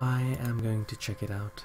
I am going to check it out.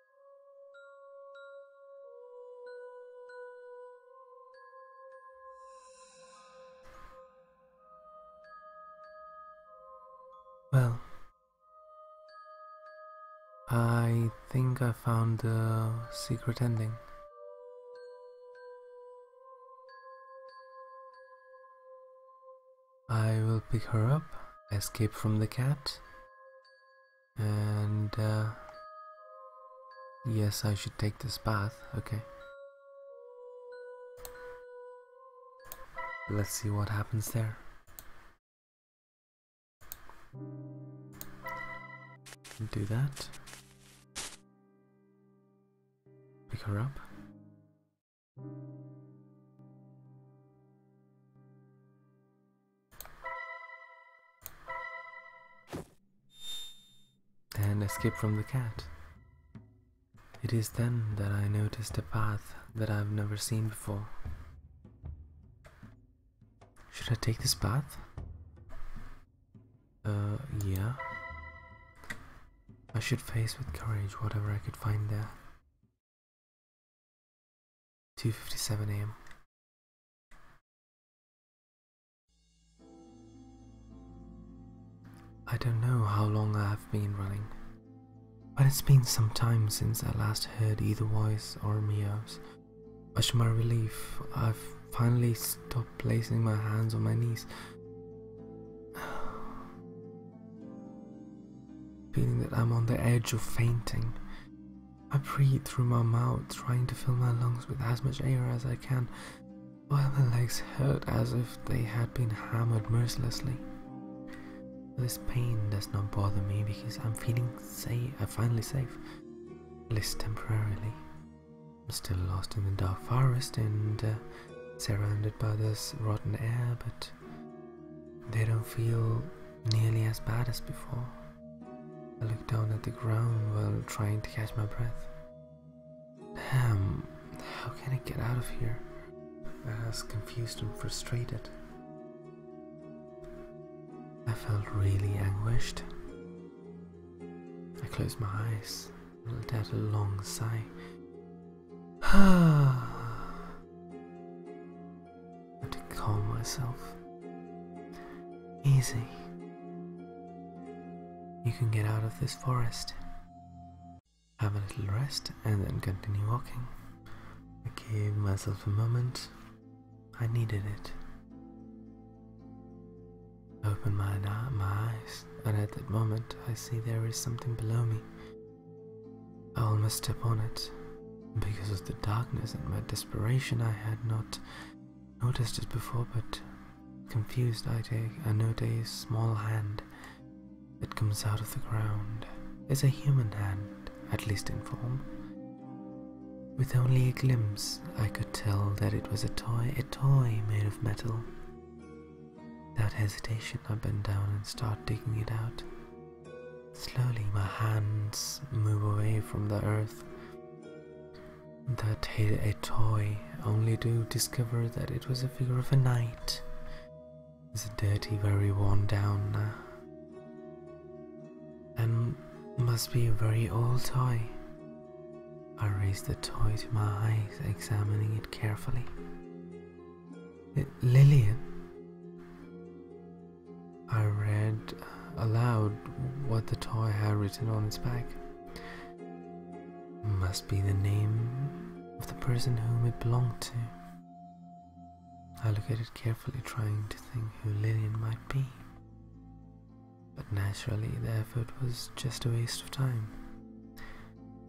Well, I think I found the secret ending. I will pick her up, escape from the cat, and uh, yes, I should take this path. Okay. Let's see what happens there. Do that. Pick her up. And escape from the cat. It is then that I noticed a path that I've never seen before. Should I take this path? Uh, yeah. I should face with courage whatever I could find there. 2:57 a.m. I don't know how long I have been running, but it's been some time since I last heard either voice or meows. But to my relief, I've finally stopped placing my hands on my knees. Feeling that I'm on the edge of fainting, I breathe through my mouth, trying to fill my lungs with as much air as I can, while my legs hurt as if they had been hammered mercilessly. This pain does not bother me because I'm feeling safe, I'm finally safe, at least temporarily. I'm still lost in the dark forest and uh, surrounded by this rotten air, but they don't feel nearly as bad as before. I looked down at the ground while trying to catch my breath. Damn, how can I get out of here? I was confused and frustrated. I felt really anguished. I closed my eyes and let out a long sigh. Ah to calm myself. Easy. You can get out of this forest. Have a little rest and then continue walking. I gave myself a moment. I needed it. I open my, my eyes, and at that moment I see there is something below me. I almost step on it, because of the darkness and my desperation, I had not noticed it before, but confused, I take I note a small hand that comes out of the ground. It's a human hand, at least in form. With only a glimpse, I could tell that it was a toy, a toy made of metal. Without hesitation, I bend down and start digging it out. Slowly my hands move away from the earth that hid a toy, only to discover that it was a figure of a knight. It's dirty, very worn down uh, and must be a very old toy. I raise the toy to my eyes, examining it carefully. Lillian? I read aloud what the toy had written on its back. Must be the name of the person whom it belonged to. I looked at it carefully, trying to think who Lilian might be. But naturally, the effort was just a waste of time.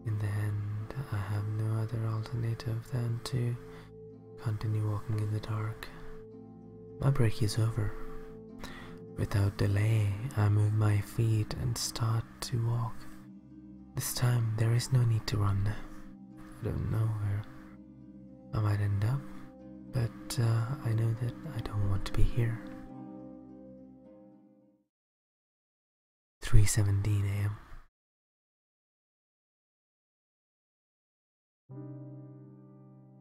In the end, I have no other alternative than to Continue walking in the dark. My break is over. Without delay, I move my feet and start to walk. This time, there is no need to run. I don't know where I might end up, but uh, I know that I don't want to be here. 3:17 a.m.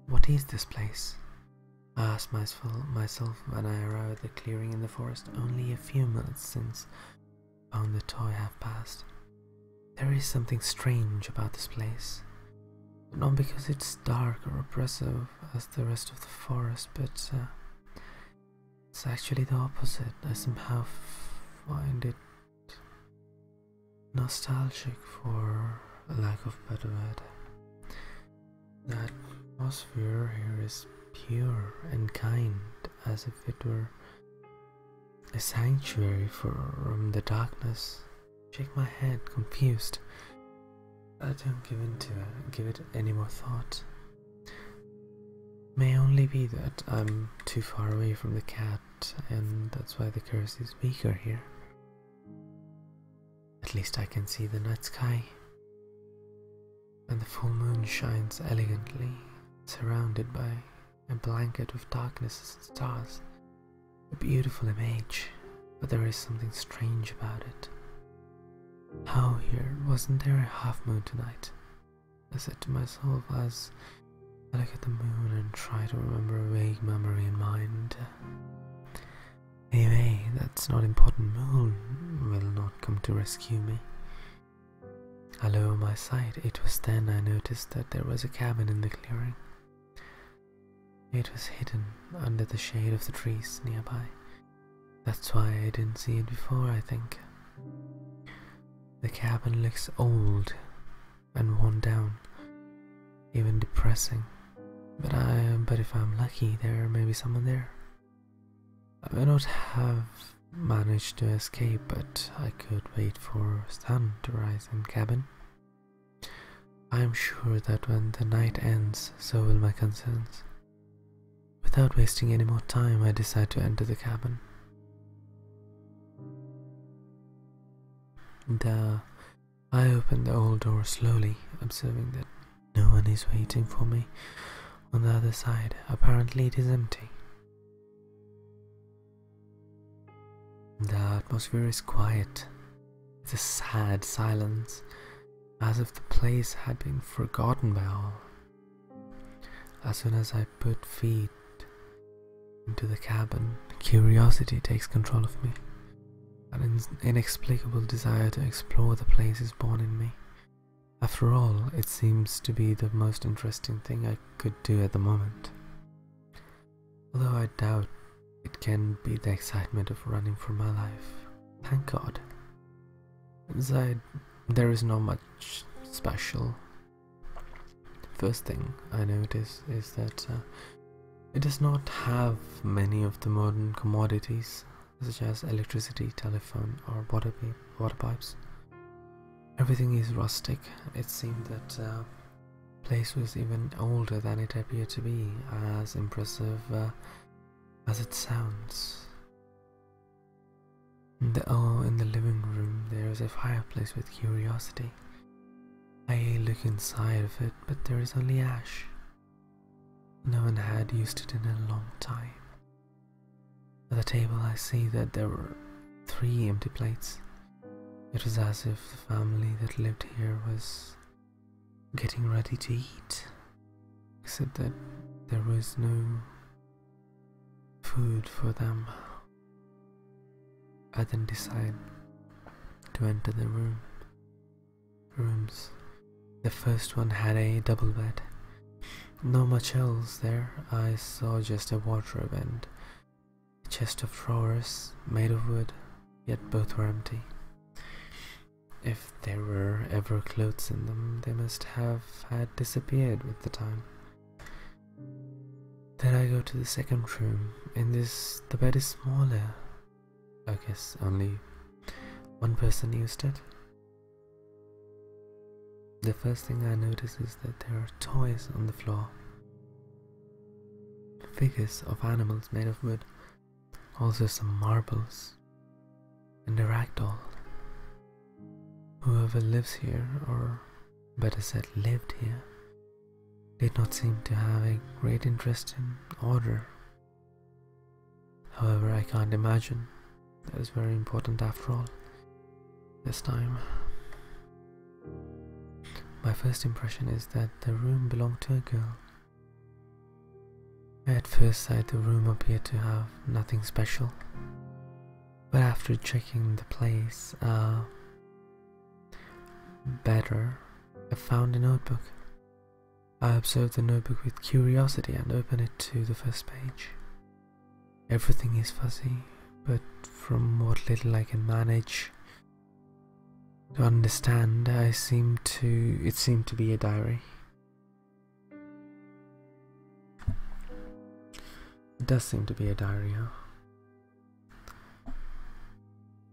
What is this place? I asked myself when I arrived at the clearing in the forest only a few minutes since found the toy half past. There is something strange about this place. Not because it's dark or oppressive as the rest of the forest, but uh, it's actually the opposite. I somehow find it nostalgic for a lack of better word. That atmosphere here is pure and kind, as if it were a sanctuary from the darkness. Shake my head, confused. I don't give in to it, give it any more thought. May only be that I'm too far away from the cat, and that's why the curse is weaker here. At least I can see the night sky, and the full moon shines elegantly, surrounded by a blanket of darkness and stars. A beautiful image, but there is something strange about it. How here wasn't there a half moon tonight? I said to myself as I look at the moon and try to remember a vague memory in mind. Anyway, that's not important. Moon will not come to rescue me. I lower my sight. It was then I noticed that there was a cabin in the clearing. It was hidden under the shade of the trees nearby. That's why I didn't see it before, I think. The cabin looks old, and worn down, even depressing. But I but if I'm lucky, there may be someone there. I may not have managed to escape, but I could wait for sun to rise in cabin. I am sure that when the night ends, so will my concerns. Without wasting any more time, I decide to enter the cabin. The I open the old door slowly, observing that no one is waiting for me on the other side. Apparently, it is empty. The atmosphere is quiet. It's a sad silence, as if the place had been forgotten by all. As soon as I put feet into the cabin, curiosity takes control of me. An inexplicable desire to explore the place is born in me. After all, it seems to be the most interesting thing I could do at the moment. Although I doubt it can be the excitement of running for my life. Thank God. Inside, there is not much special. First thing I notice is that uh, it does not have many of the modern commodities such as electricity, telephone or water, pipes. Everything is rustic. It seemed that the uh, place was even older than it appeared to be, as impressive uh, as it sounds. oh, in the living room there is a fireplace with curiosity. I look inside of it, but there is only ash. No one had used it in a long time. At the table, I see that there were three empty plates. It was as if the family that lived here was getting ready to eat, except that there was no food for them. I then decide to enter the room. Rooms. The first one had a double bed. No much else there. I saw just a wardrobe and a chest of drawers made of wood, yet both were empty. If there were ever clothes in them, they must have had disappeared with the time. Then I go to the second room. In this, the bed is smaller. I guess only one person used it. The first thing I notice is that there are toys on the floor. Figures of animals made of wood. Also some marbles. And a rag doll. Whoever lives here, or better said lived here, did not seem to have a great interest in order. However, I can't imagine that is very important after all. This time, my first impression is that the room belonged to a girl. At first sight, the room appeared to have nothing special, but after checking the place, uh, Better, I found a notebook. I observed the notebook with curiosity and opened it to the first page. Everything is fuzzy, but from what little I can manage to understand, I seem to it seemed to be a diary. It does seem to be a diary, huh?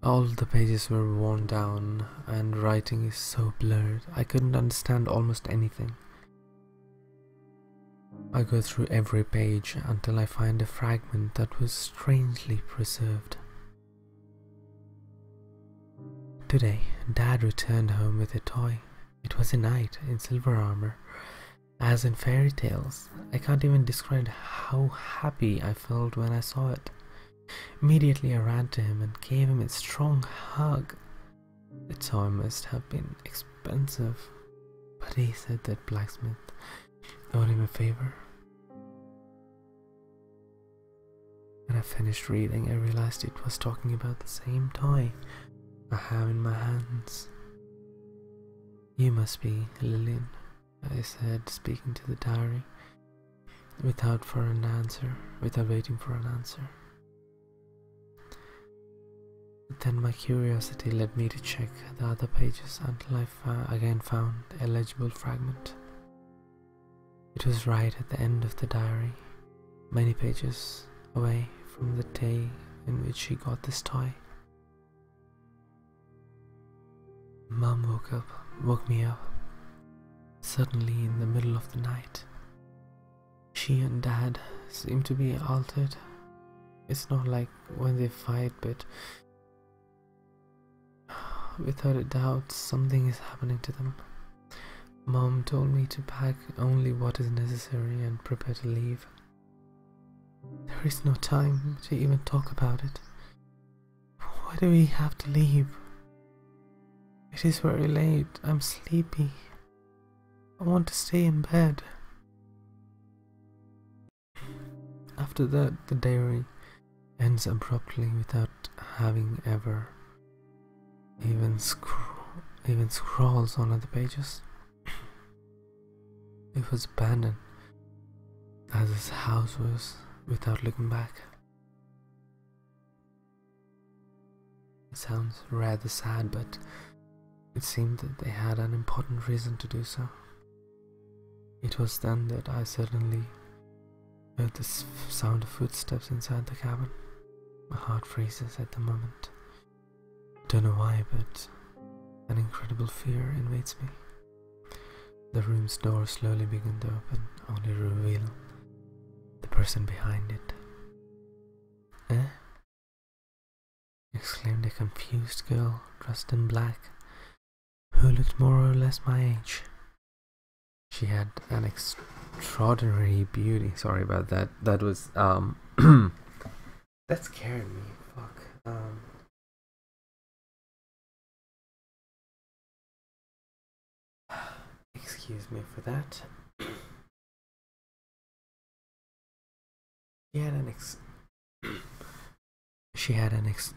All the pages were worn down and writing is so blurred, I couldn't understand almost anything. I go through every page until I find a fragment that was strangely preserved. Today, Dad returned home with a toy. It was a knight in silver armor. As in fairy tales, I can't even describe how happy I felt when I saw it. Immediately I ran to him and gave him a strong hug. The toy must have been expensive, but he said that blacksmith owed him a favor. When I finished reading, I realized it was talking about the same toy I have in my hands. You must be Lillian, I said, speaking to the diary, without for an answer, without waiting for an answer. Then my curiosity led me to check the other pages until I again found a legible fragment. It was right at the end of the diary, many pages away from the day in which she got this toy. Mom woke up, woke me up, suddenly in the middle of the night. She and Dad seem to be altered. It's not like when they fight, but without a doubt, something is happening to them. Mom told me to pack only what is necessary and prepare to leave. There is no time to even talk about it. Why do we have to leave? It is very late. I'm sleepy. I want to stay in bed. After that, the diary ends abruptly without having ever even even scrolls on other pages. It was abandoned as his house was without looking back. It sounds rather sad, but it seemed that they had an important reason to do so. It was then that I suddenly heard the sound of footsteps inside the cabin. My heart freezes at the moment. I Don't know why, but an incredible fear invades me. The room's door slowly began to open, only reveal the person behind it. Eh? exclaimed a confused girl dressed in black, who looked more or less my age. She had an extraordinary beauty. Sorry about that. That was um that scared me. Fuck. Um, Excuse me for that. She had an ex. she had an ex.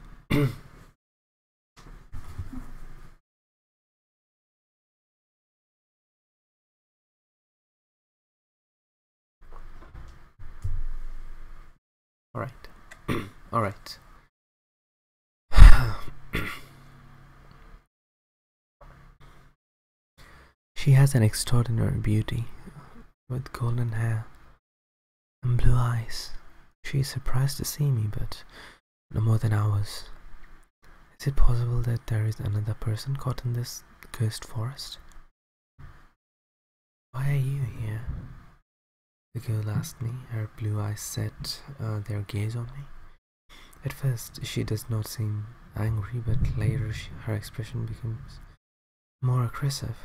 Alright. Alright. she has an extraordinary beauty, with golden hair and blue eyes. She is surprised to see me, but no more than ours. Is it possible that there is another person caught in this cursed forest? Why are you here? The girl asked me, her blue eyes set uh, their gaze on me. At first, she does not seem angry, but later her expression becomes more aggressive.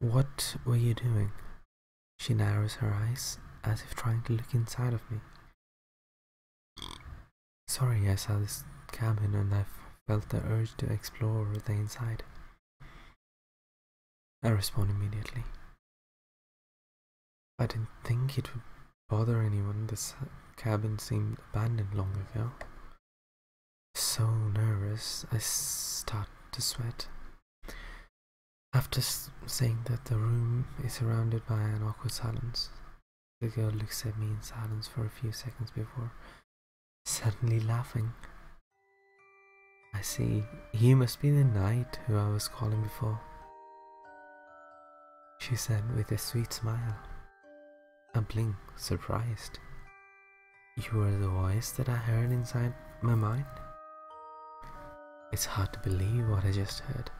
What were you doing? She narrows her eyes as if trying to look inside of me. Sorry, I saw this cabin and I felt the urge to explore the inside. I respond immediately. I didn't think it would bother anyone. This cabin seemed abandoned long ago. So nervous, I start to sweat. After saying that the room is surrounded by an awkward silence, the girl looks at me in silence for a few seconds before suddenly laughing. I see. He must be the knight who I was calling before. She said with a sweet smile, a blink surprised. You were the voice that I heard inside my mind. It's hard to believe what I just heard.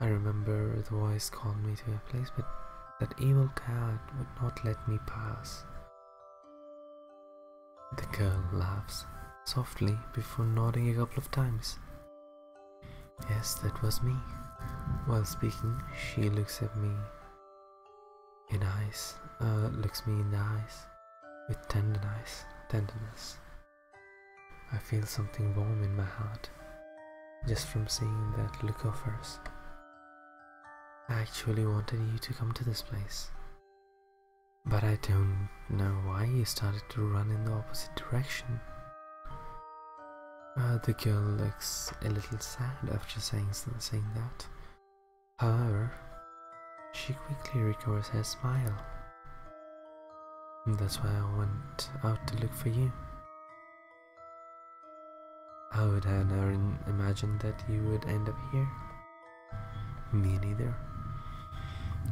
I remember the voice called me to a place, but that evil coward would not let me pass. The girl laughs softly before nodding a couple of times. Yes, that was me. While speaking, she looks at me in eyes, uh, looks me in the eyes with tenderness, tenderness. I feel something warm in my heart just from seeing that look of hers. I actually wanted you to come to this place. But I don't know why he started to run in the opposite direction. Uh, the girl looks a little sad after saying, saying that. However, she quickly recovers her smile. That's why I went out to look for you. I would have never imagined that you would end up here. Me neither.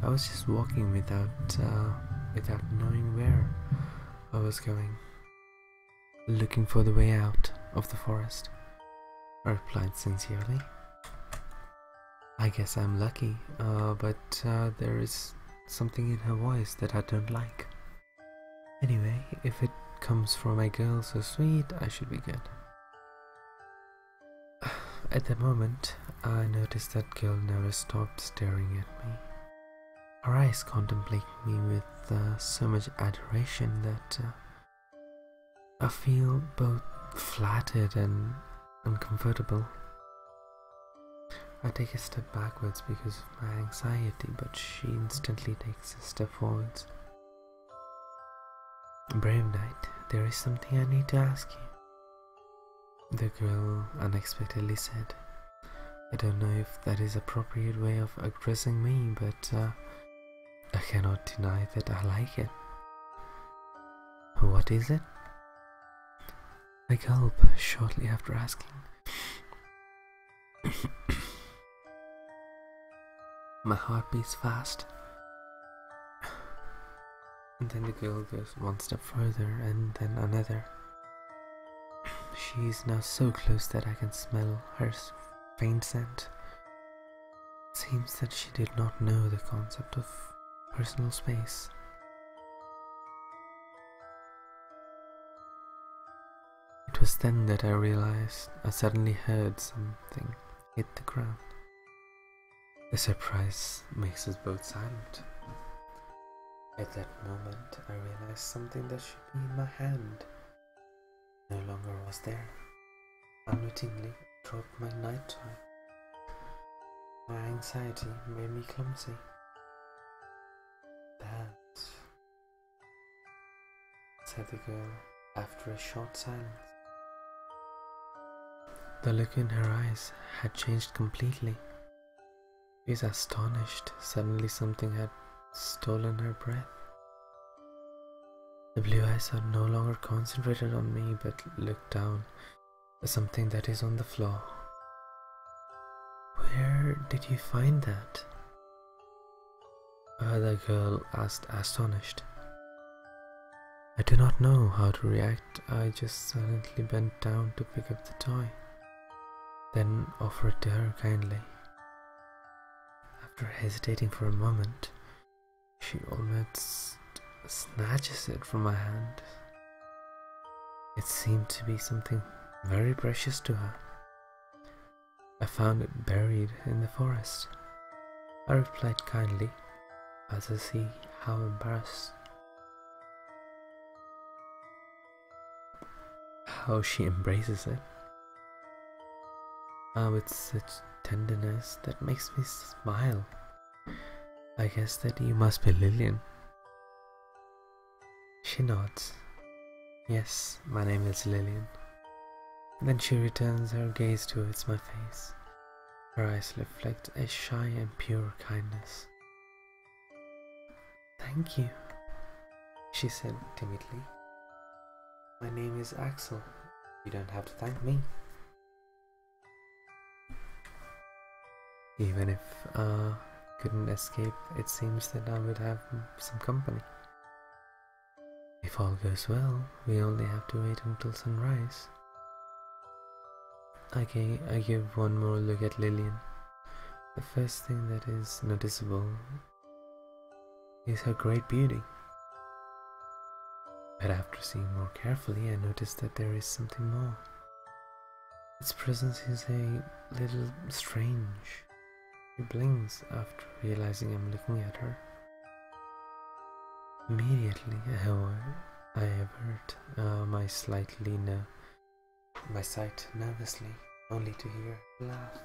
I was just walking without uh, without knowing where I was going. Looking for the way out of the forest. I replied sincerely. I guess I'm lucky, uh, but uh, there is something in her voice that I don't like. Anyway, if it comes from a girl so sweet, I should be good. At the moment, I notice that girl never stopped staring at me. Her eyes contemplate me with uh, so much adoration that uh, I feel both flattered and uncomfortable. I take a step backwards because of my anxiety, but she instantly takes a step forwards, Brave knight, there is something I need to ask you. The girl unexpectedly said. I don't know if that is appropriate way of addressing me, but uh, I cannot deny that I like it. What is it? I gulp shortly after asking. My heart beats fast. And then the girl goes one step further and then another. She is now so close that I can smell her faint scent. It seems that she did not know the concept of personal space. It was then that I realized I suddenly heard something hit the ground. The surprise makes us both silent. At that moment, I realized something that should be in my hand no longer was there. Unwittingly, I dropped my night toy. My anxiety made me clumsy. That, said the girl after a short silence. The look in her eyes had changed completely. She was astonished. Suddenly, something had stolen her breath. The blue eyes are no longer concentrated on me but look down at something that is on the floor. Where did you find that? The girl asked astonished. I did not know how to react, I just silently bent down to pick up the toy, then offered to her kindly. After hesitating for a moment, she almost snatches it from my hand. It seemed to be something very precious to her. I found it buried in the forest. I replied kindly as I see how embarrassed how she embraces it. Ah, with such tenderness that makes me smile. I guess that you must be Lillian. She nods. Yes, my name is Lillian. then she returns her gaze towards my face, her eyes reflect a shy and pure kindness. Thank you, she said timidly. My name is Axel. You don't have to thank me. Even if I uh, couldn't escape, it seems that I would have some company. If all goes well, we only have to wait until sunrise. I give one more look at Lillian. The first thing that is noticeable is her great beauty. But after seeing more carefully, I notice that there is something more. Its presence is a little strange. She blinks after realizing I'm looking at her. Immediately, however, I avert uh, my slightly ner- uh, my sight nervously, only to hear laugh.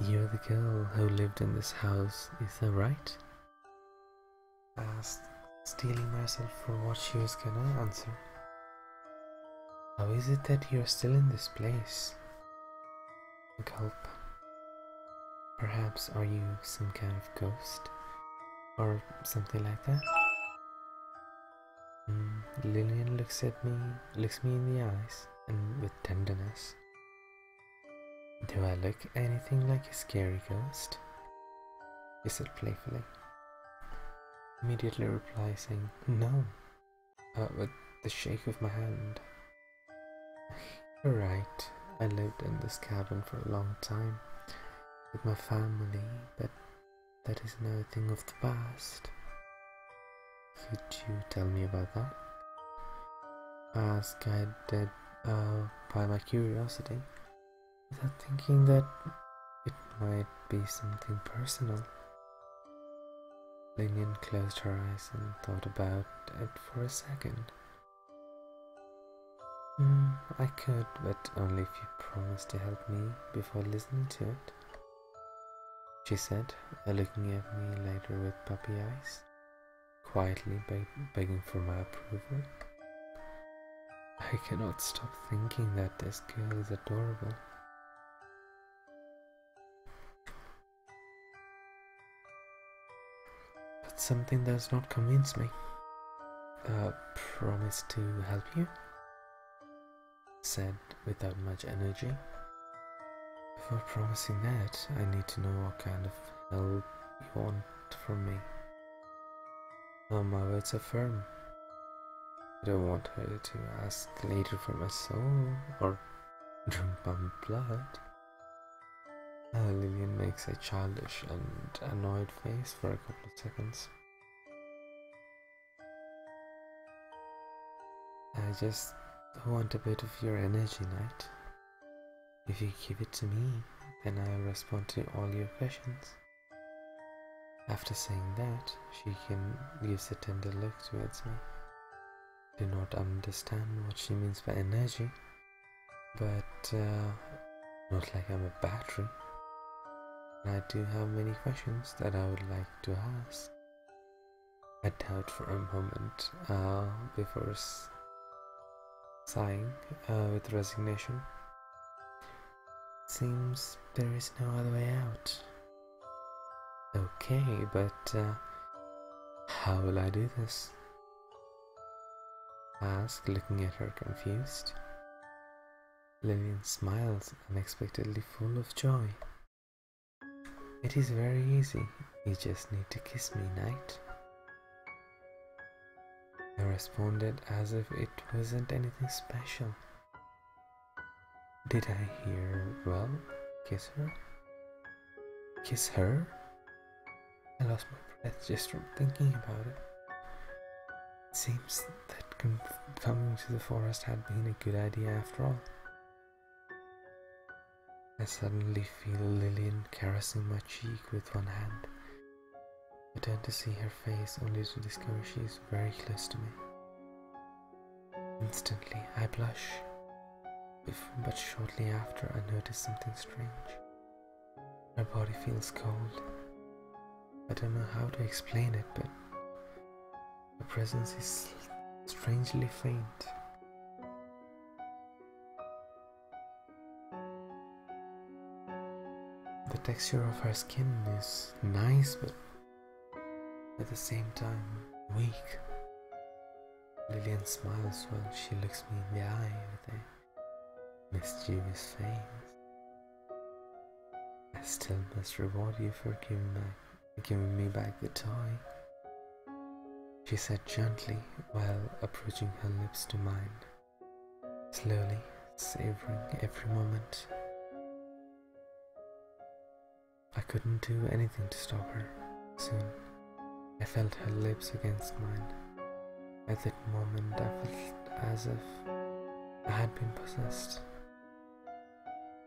You're the girl who lived in this house, is that right? I asked, steeling myself for what she was gonna answer. How is it that you're still in this place? help. Perhaps are you some kind of ghost? Or something like that? Mm, Lillian looks at me, looks me in the eyes, and with tenderness. Do I look anything like a scary ghost? He said playfully. Immediately replying, no, but uh, with the shake of my hand Alright, I lived in this cabin for a long time with my family, but that is another thing of the past. Could you tell me about that? As guided uh, by my curiosity, without thinking that it might be something personal. Lillian closed her eyes and thought about it for a second. Hmm, I could, but only if you promise to help me before listening to it. She said, uh, looking at me later with puppy eyes, quietly begging for my approval. I cannot stop thinking that this girl is adorable. But something does not convince me. Uh, promise to help you? Said without much energy. Before promising that, I need to know what kind of help you want from me. my words are firm. I don't want her to ask later for my soul or drink my blood. Lillian makes a childish and annoyed face for a couple of seconds. I just want a bit of your energy, Knight. If you give it to me, then I'll respond to all your questions. After saying that, she can gives a tender look towards me. Do not understand what she means by energy, but not uh, like I'm a battery. I do have many questions that I would like to ask. I doubt for a moment uh, before sighing uh, with resignation. Seems there is no other way out. Okay, but uh, how will I do this? asked, looking at her confused. Lillian smiles, unexpectedly full of joy. It is very easy, you just need to kiss me, Knight. I responded as if it wasn't anything special. Did I hear well? Kiss her? Kiss her? I lost my breath just from thinking about it. It seems that coming to the forest had been a good idea after all. I suddenly feel Lillian caressing my cheek with one hand. I turn to see her face only to discover she is very close to me. Instantly, I blush, but shortly after, I notice something strange. My body feels cold. I don't know how to explain it, but the presence is strangely faint. The texture of her skin is nice, but at the same time weak. Lillian smiles while she looks me in the eye with a mischievous face. I still must reward you for giving, back, giving me back the toy, she said gently while approaching her lips to mine, slowly savoring every moment. I couldn't do anything to stop her soon. I felt her lips against mine. At that moment, I felt as if I had been possessed.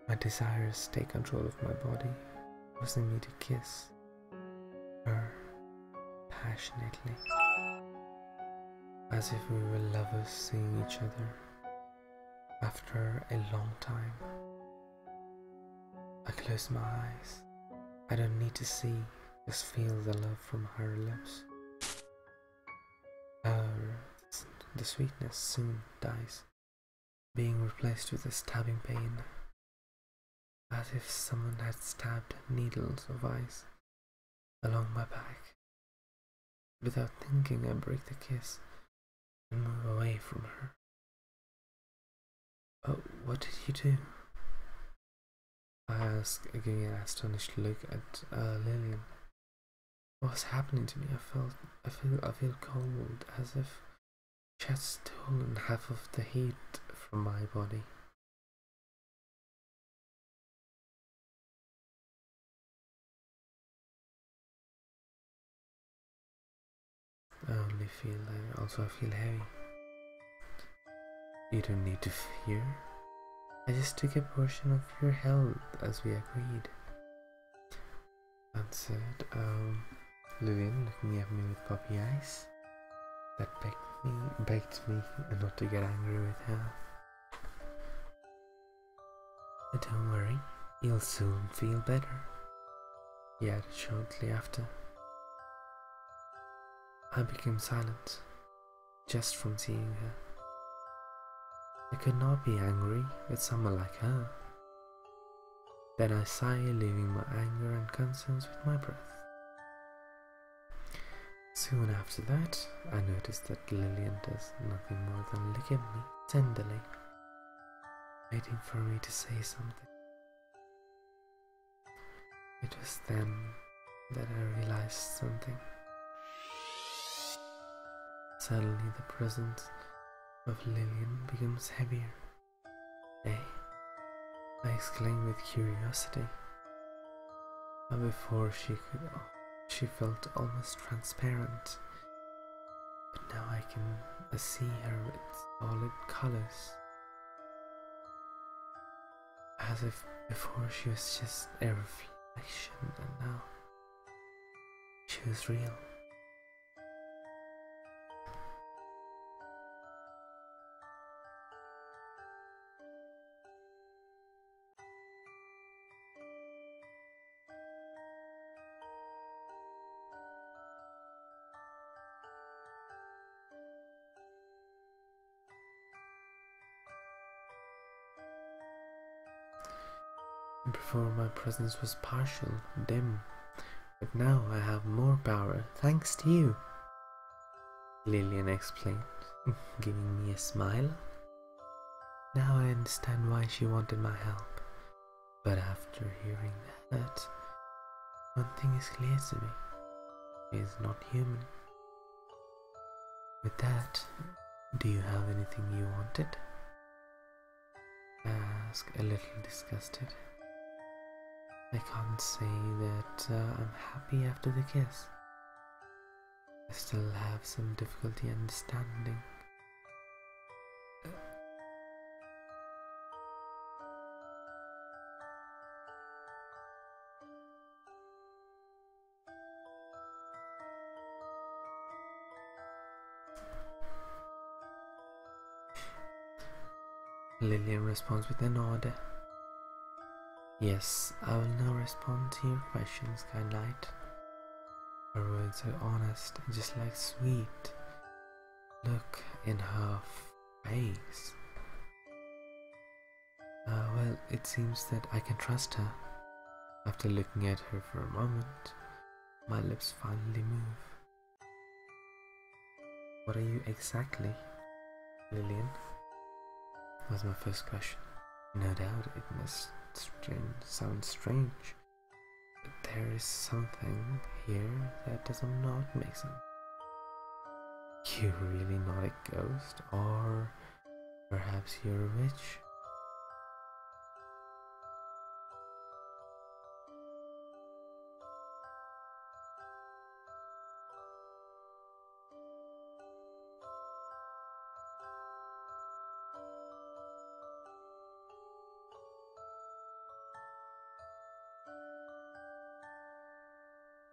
My desires take control of my body, forcing me to kiss her passionately, as if we were lovers seeing each other. After a long time, I close my eyes. I don't need to see just feel the love from her lips. Oh, the sweetness soon dies, being replaced with a stabbing pain, as if someone had stabbed needles of ice along my back. Without thinking, I break the kiss and move away from her. Oh, what did you do? I asked, giving an astonished look at uh, Lillian. What was happening to me? I felt, I feel, I feel cold, as if she had stolen half of the heat from my body. I only feel, uh, I also feel heavy. You don't need to fear. I just took a portion of your health as we agreed. Answered um, Lillian, looking at me with puppy eyes. That begged me, begged me not to get angry with her. But don't worry, you'll soon feel better. He added shortly after. I became silent just from seeing her. I could not be angry with someone like her. Then I sighed, leaving my anger and concerns with my breath. Soon after that, I noticed that Lillian does nothing more than look at me tenderly, waiting for me to say something. It was then that I realized something. Suddenly the presence of Lillian becomes heavier. Nay, I exclaimed with curiosity. before she could, she felt almost transparent. But now I can see her with solid colors as if before she was just a reflection, and now she was real. Before my presence was partial, dim, but now I have more power, thanks to you. Lillian explained, giving me a smile. Now I understand why she wanted my help, but after hearing that, one thing is clear to me is not human. With that, do you have anything you wanted? Ask. a little disgusted. I can't say that uh, I'm happy after the kiss. I still have some difficulty understanding. Lillian responds with a nod. Yes, I will now respond to your questions, Knight. Her words are honest, just like sweet. Look in her face. Ah, well, it seems that I can trust her. After looking at her for a moment, my lips finally move. What are you exactly, Lillian? Was my first question. No doubt it must sound strange, but there is something here that does not make sense you really not a ghost? Or perhaps you're a witch?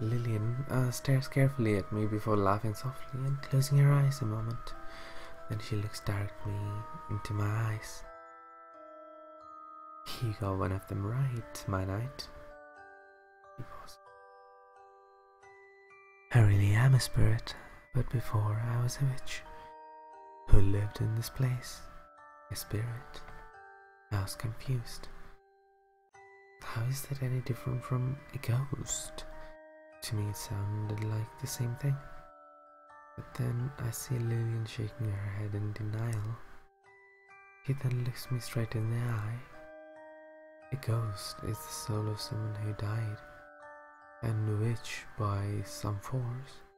Lillian uh, stares carefully at me before laughing softly and closing her eyes a moment. Then she looks directly into my eyes. You got one of them right, my knight. I really am a spirit, but before I was a witch who lived in this place, a spirit I was confused. How is that any different from a ghost? To me, it sounded like the same thing. But then I see Lillian shaking her head in denial. He then looks me straight in the eye. A ghost is the soul of someone who died, and which, by some force,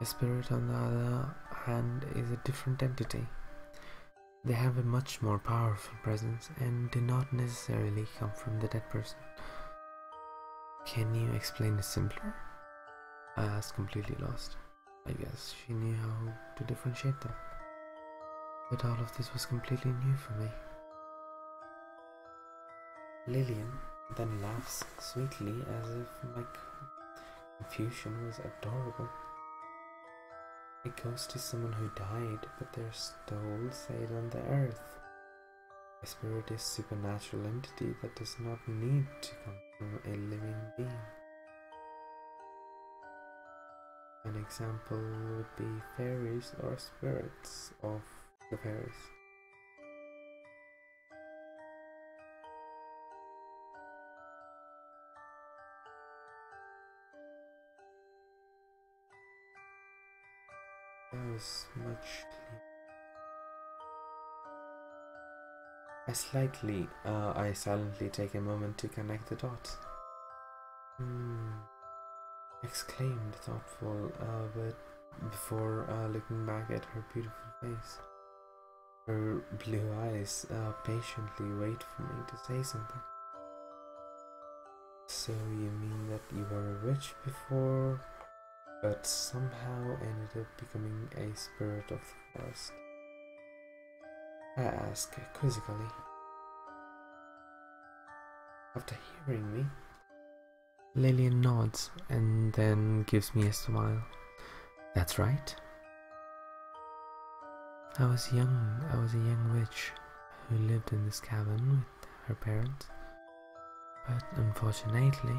A spirit, on the other hand, is a different entity. They have a much more powerful presence and do not necessarily come from the dead person. Can you explain it simpler? I was completely lost. I guess she knew how to differentiate them. But all of this was completely new for me. Lillian then laughs sweetly as if my Confucian was adorable. A ghost is someone who died, but their soul stayed on the earth. A spirit is supernatural entity that does not need to come from a living being. An example would be fairies or spirits of the fairies was much As likely, uh, I silently take a moment to connect the dots. Hmm. Exclaimed, thoughtful, uh, but before uh, looking back at her beautiful face. Her blue eyes uh, patiently wait for me to say something. So you mean that you were a witch before, but somehow ended up becoming a spirit of the forest? I ask quizzically. After hearing me, Lillian nods and then gives me a smile. That's right. I was young, I was a young witch who lived in this cabin with her parents, but unfortunately,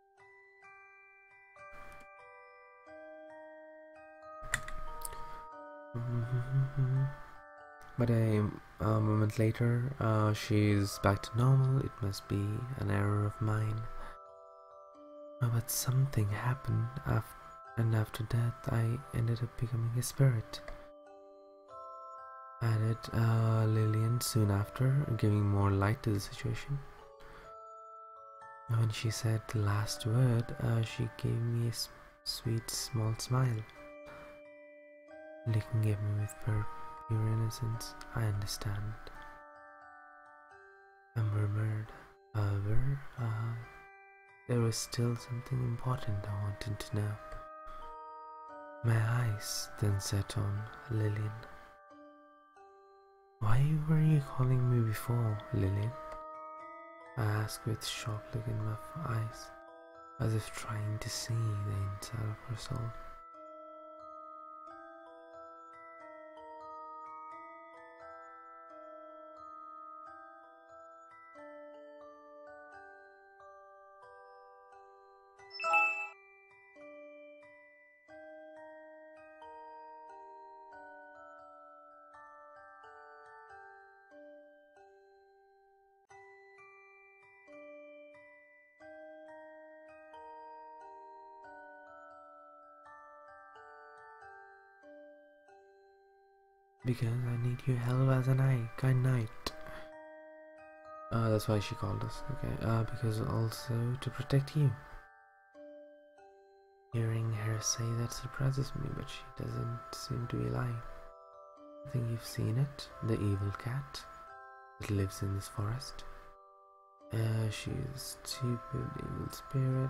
Mm-hmm. but a, moment later, uh, she's back to normal. It must be an error of mine. Uh, but something happened, af and after that, I ended up becoming a spirit. Added uh, Lillian soon after, giving more light to the situation. When she said the last word, uh, she gave me a sweet small smile, looking at me with pure, innocence. I understand. I murmured, however, uh, there was still something important I wanted to know. My eyes then set on Lillian. Why were you calling me before, Lillian? I ask with sharp look in my eyes, as if trying to see the inside of her soul. Because I need your help as a knight, Kind knight. Uh, that's why she called us. Okay. Uh, because also to protect you. Hearing her say that surprises me, but she doesn't seem to be lying. I think you've seen it, the evil cat that lives in this forest. Uh, She's a stupid evil spirit.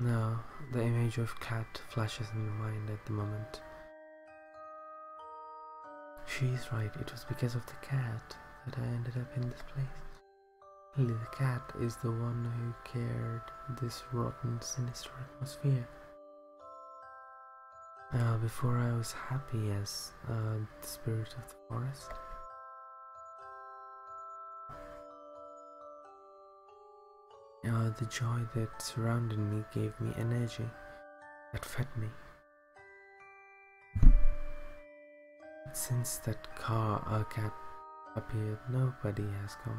Now, the image of Cat flashes in my mind at the moment. She's right, it was because of the cat that I ended up in this place. Lily the cat is the one who cared this rotten, sinister atmosphere. Uh, before I was happy as uh, the spirit of the forest. Uh, the joy that surrounded me gave me energy that fed me. since that car our uh, cat appeared, nobody has come.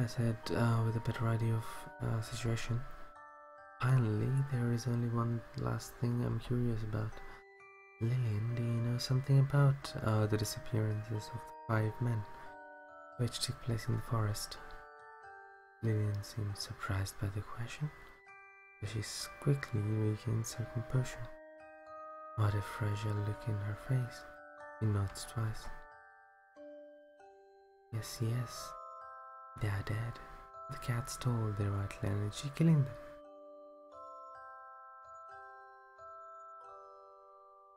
I said uh, with a better idea of the uh, situation. Finally, there is only one last thing I'm curious about. Lillian, do you know something about uh, the disappearances of the five men, which took place in the forest? Lillian seems surprised by the question, but she quickly regains her composure. What a fragile look in her face. He nods twice. Yes, yes, they are dead. The cat stole their vital energy, killing them.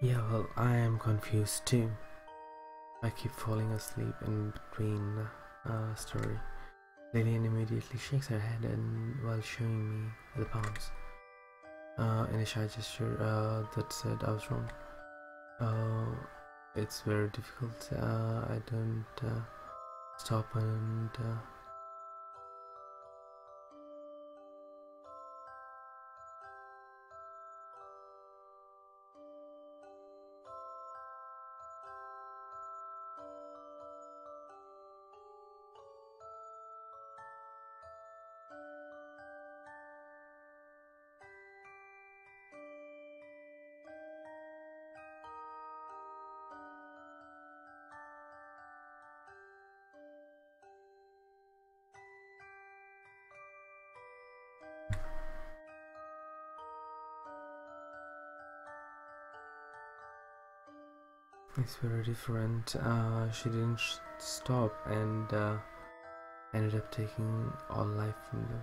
Yeah, well, I am confused too. I keep falling asleep in between uh, story. Lillian immediately shakes her head and while showing me the palms uh, in a shy gesture uh, that said I was wrong. Uh, it's very difficult. Uh, I don't stop and it's very different uh, she didn't stop and uh, ended up taking all life from them.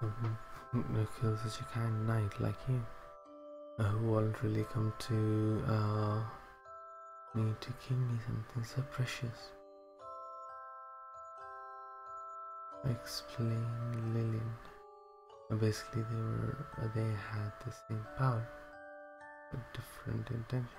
kill mm-hmm. mm, such a kind knight like you who will really come to uh, me to give me something so precious explain Lillian basically they were uh, they had the same power but different intention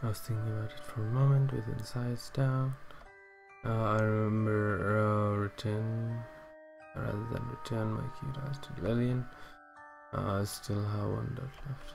I was thinking about it for a moment with insides down. Uh, I remember uh, return rather than return my cute eyes to Lillian. Uh, still have one dot left.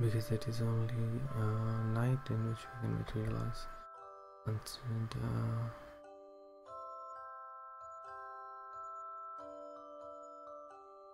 because it is only a uh, night in which we can materialize and uh,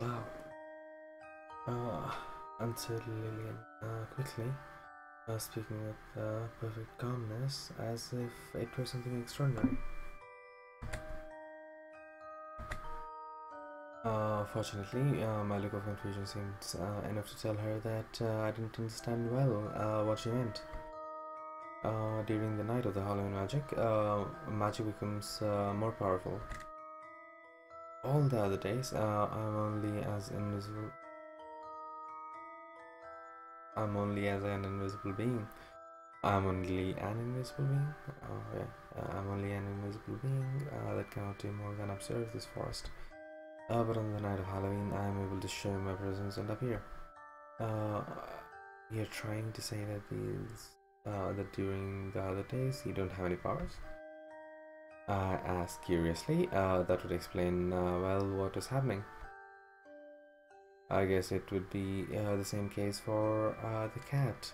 Wow. Ah, uh, ah, answered quickly. Uh, speaking with uh, perfect calmness, as if it were something extraordinary. Uh, fortunately, my look of confusion seemed enough to tell her that I didn't understand well what she meant. during the night of the Halloween magic, magic becomes more powerful. All the other days, I'm only as invisible I'm only as an invisible being. I'm only an invisible being. Oh, uh, I'm only an invisible being uh, that cannot do more than observe this forest. Uh, but on the night of Halloween, I am able to show my presence and appear. you're trying to say that that during the holidays you don't have any powers? I asked curiously. Uh, that would explain, uh, well what was happening. I guess it would be uh, the same case for the cat.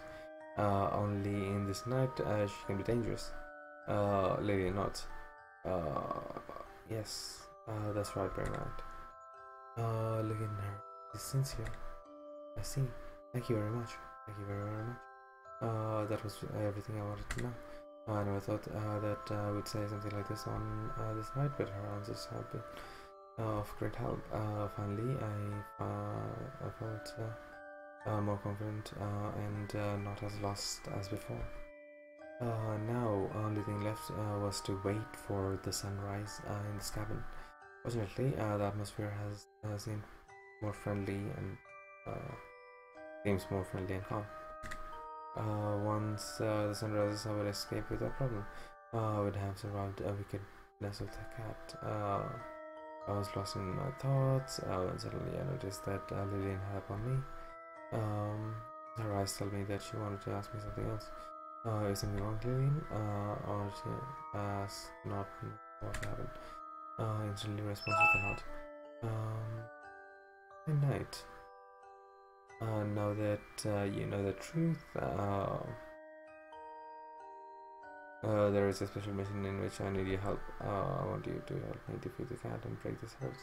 only in this night she can be dangerous. Lady not. yes, that's right, Bernard. look at her. She's sincere. I see. Thank you very much. Thank you very much. that was everything I wanted to know. I never thought uh, that uh, I would say something like this on uh, this night, but her answers have been of great help. finally, I, I felt more confident and not as lost as before. now, only thing left was to wait for the sunrise in this cabin. Fortunately, the atmosphere has seemed more friendly and Seems uh, more friendly and calm. Uh, once uh, the sun rises, I will escape without problem. I would have survived We could nestle the cat. I was lost in my thoughts when suddenly I noticed that uh, Lillian had on me. Um, her eyes told me that she wanted to ask me something else. Uh, is something wrong, Lillian? or it asked not what happened. instantly responds with a nod. Um, Good night. Uh, now that uh, you know the truth, uh, uh, there is a special mission in which I need your help. I want you to help me defeat the cat and break this house.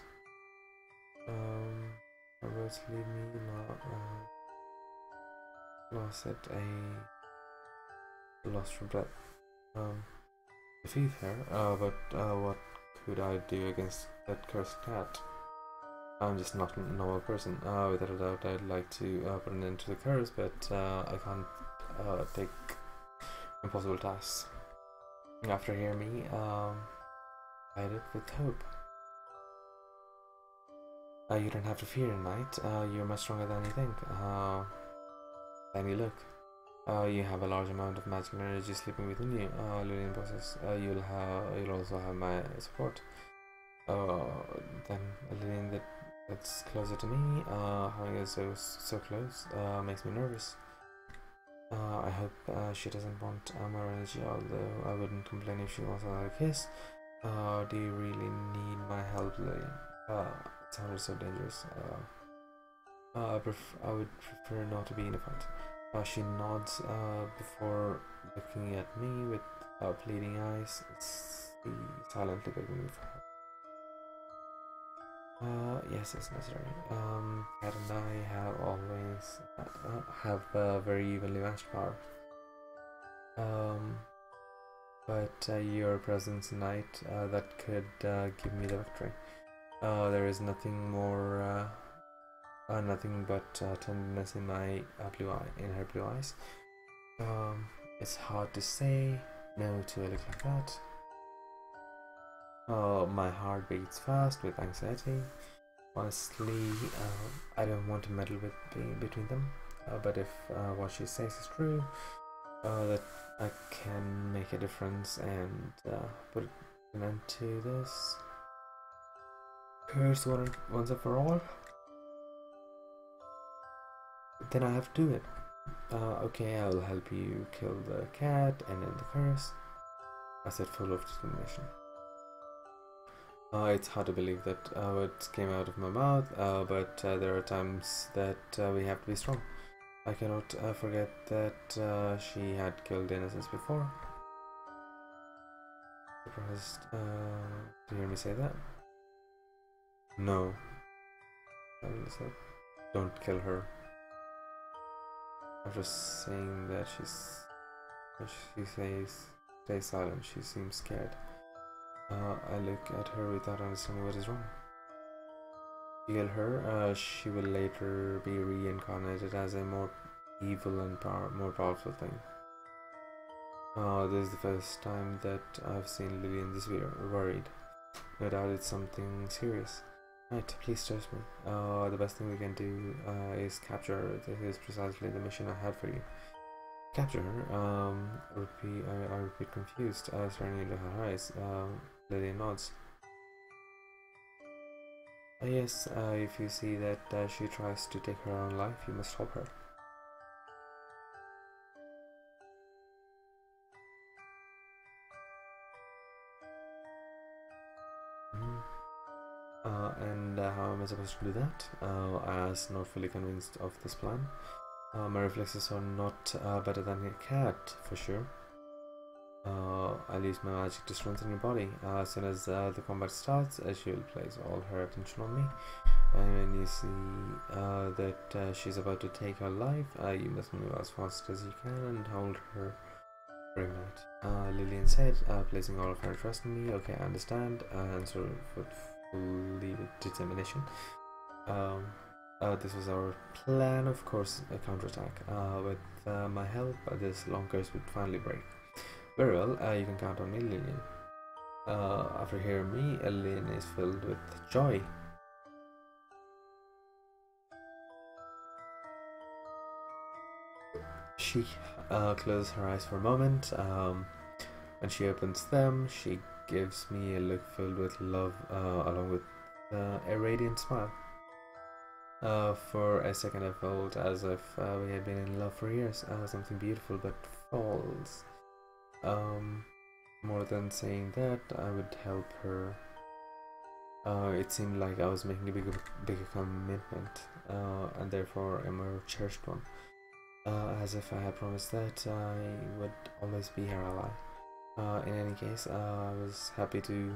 Um, robots leave me lo lost said a lost for breath. Um, defeat her, uh, but uh, what could I do against that cursed cat? I'm just not a normal person. Uh, without a doubt, I'd like to uh, put an end to the curse, but I can't take impossible tasks. After hear me, I um, did it with hope. you don't have to fear, knight. you're much stronger than you think. Let me look. Uh, you have a large amount of magic energy sleeping within you. Uh, Lillian possesses. Uh, you'll have. You'll also have my support. Uh, then Lillian that's closer to me. Uh, having her so so close uh, makes me nervous. Uh, I hope uh, she doesn't want uh, more energy. Although I wouldn't complain if she wants another kiss. Uh, do you really need my help, Lillian? Uh, it sounds so dangerous. Uh, I, uh, pref I would prefer not to be in a fight. Uh, she nods uh, before looking at me with pleading eyes, see, silently begging me for help. Uh, yes, it's necessary. Um, Kat and I have always uh, have uh, very evenly matched power. Um, but your presence tonight that could give me the victory. Oh, there is nothing more, uh, oh, nothing but uh, tenderness in my uh, blue eye, in her blue eyes. Um, it's hard to say no to a look like that. Oh, my heart beats fast with anxiety. Honestly, um, I don't want to meddle with between them. but if what she says is true, that I can make a difference and put and then undo this. curse one once and for all. Then I have to do it. Uh, okay, I'll help you kill the cat and then the curse. I said full of determination. Uh, it's hard to believe that uh, words came out of my mouth, uh, but there are times that we have to be strong. I cannot uh, forget that uh, she had killed innocents before. Surprised uh, to hear me say that. No. don't kill her. I'm just saying that, she's she says, stay silent. She seems scared. Uh, I look at her without understanding what is wrong kill her, uh, she will later be reincarnated as a more evil and more powerful thing. Oh, this is the first time that I've seen Lily in this video, worried. No doubt it's something serious. Right, please trust me. Oh, the best thing we can do uh, is capture This is precisely the mission I had for you. Capture her? I um, would be, I, I would be confused, uh, staring into her eyes the nods. Ah, yes, uh, if you see that uh, she tries to take her own life, you must stop her. Mm. Uh, and how am I supposed to do that? I was not fully convinced of this plan. my reflexes are not better than a cat, for sure. Uh, I'll use my magic to strengthen your body. Uh, as soon as uh, the combat starts, she will place all her attention on me. And when you see that she's about to take her life, you must move as fast as you can and hold her during that. Lillian said, placing all of her trust in me. Okay, I understand. and so with fully determination. Um, this was our plan, of course, a counterattack. with uh, my help, this long curse would finally break. Very well, uh, you can count on me, Lillian. Uh, after hearing me, uh, Lillian is filled with joy. She closes her eyes for a moment. and um, she opens them, she gives me a look filled with love, along with a radiant smile. Uh, for a second I felt as if uh, we had been in love for years, oh, something beautiful but false. Um, more than saying that, I would help her. Uh, it seemed like I was making a bigger, bigger commitment, and therefore a more cherished one. as if I had promised that I would always be her ally. in any case, I was happy to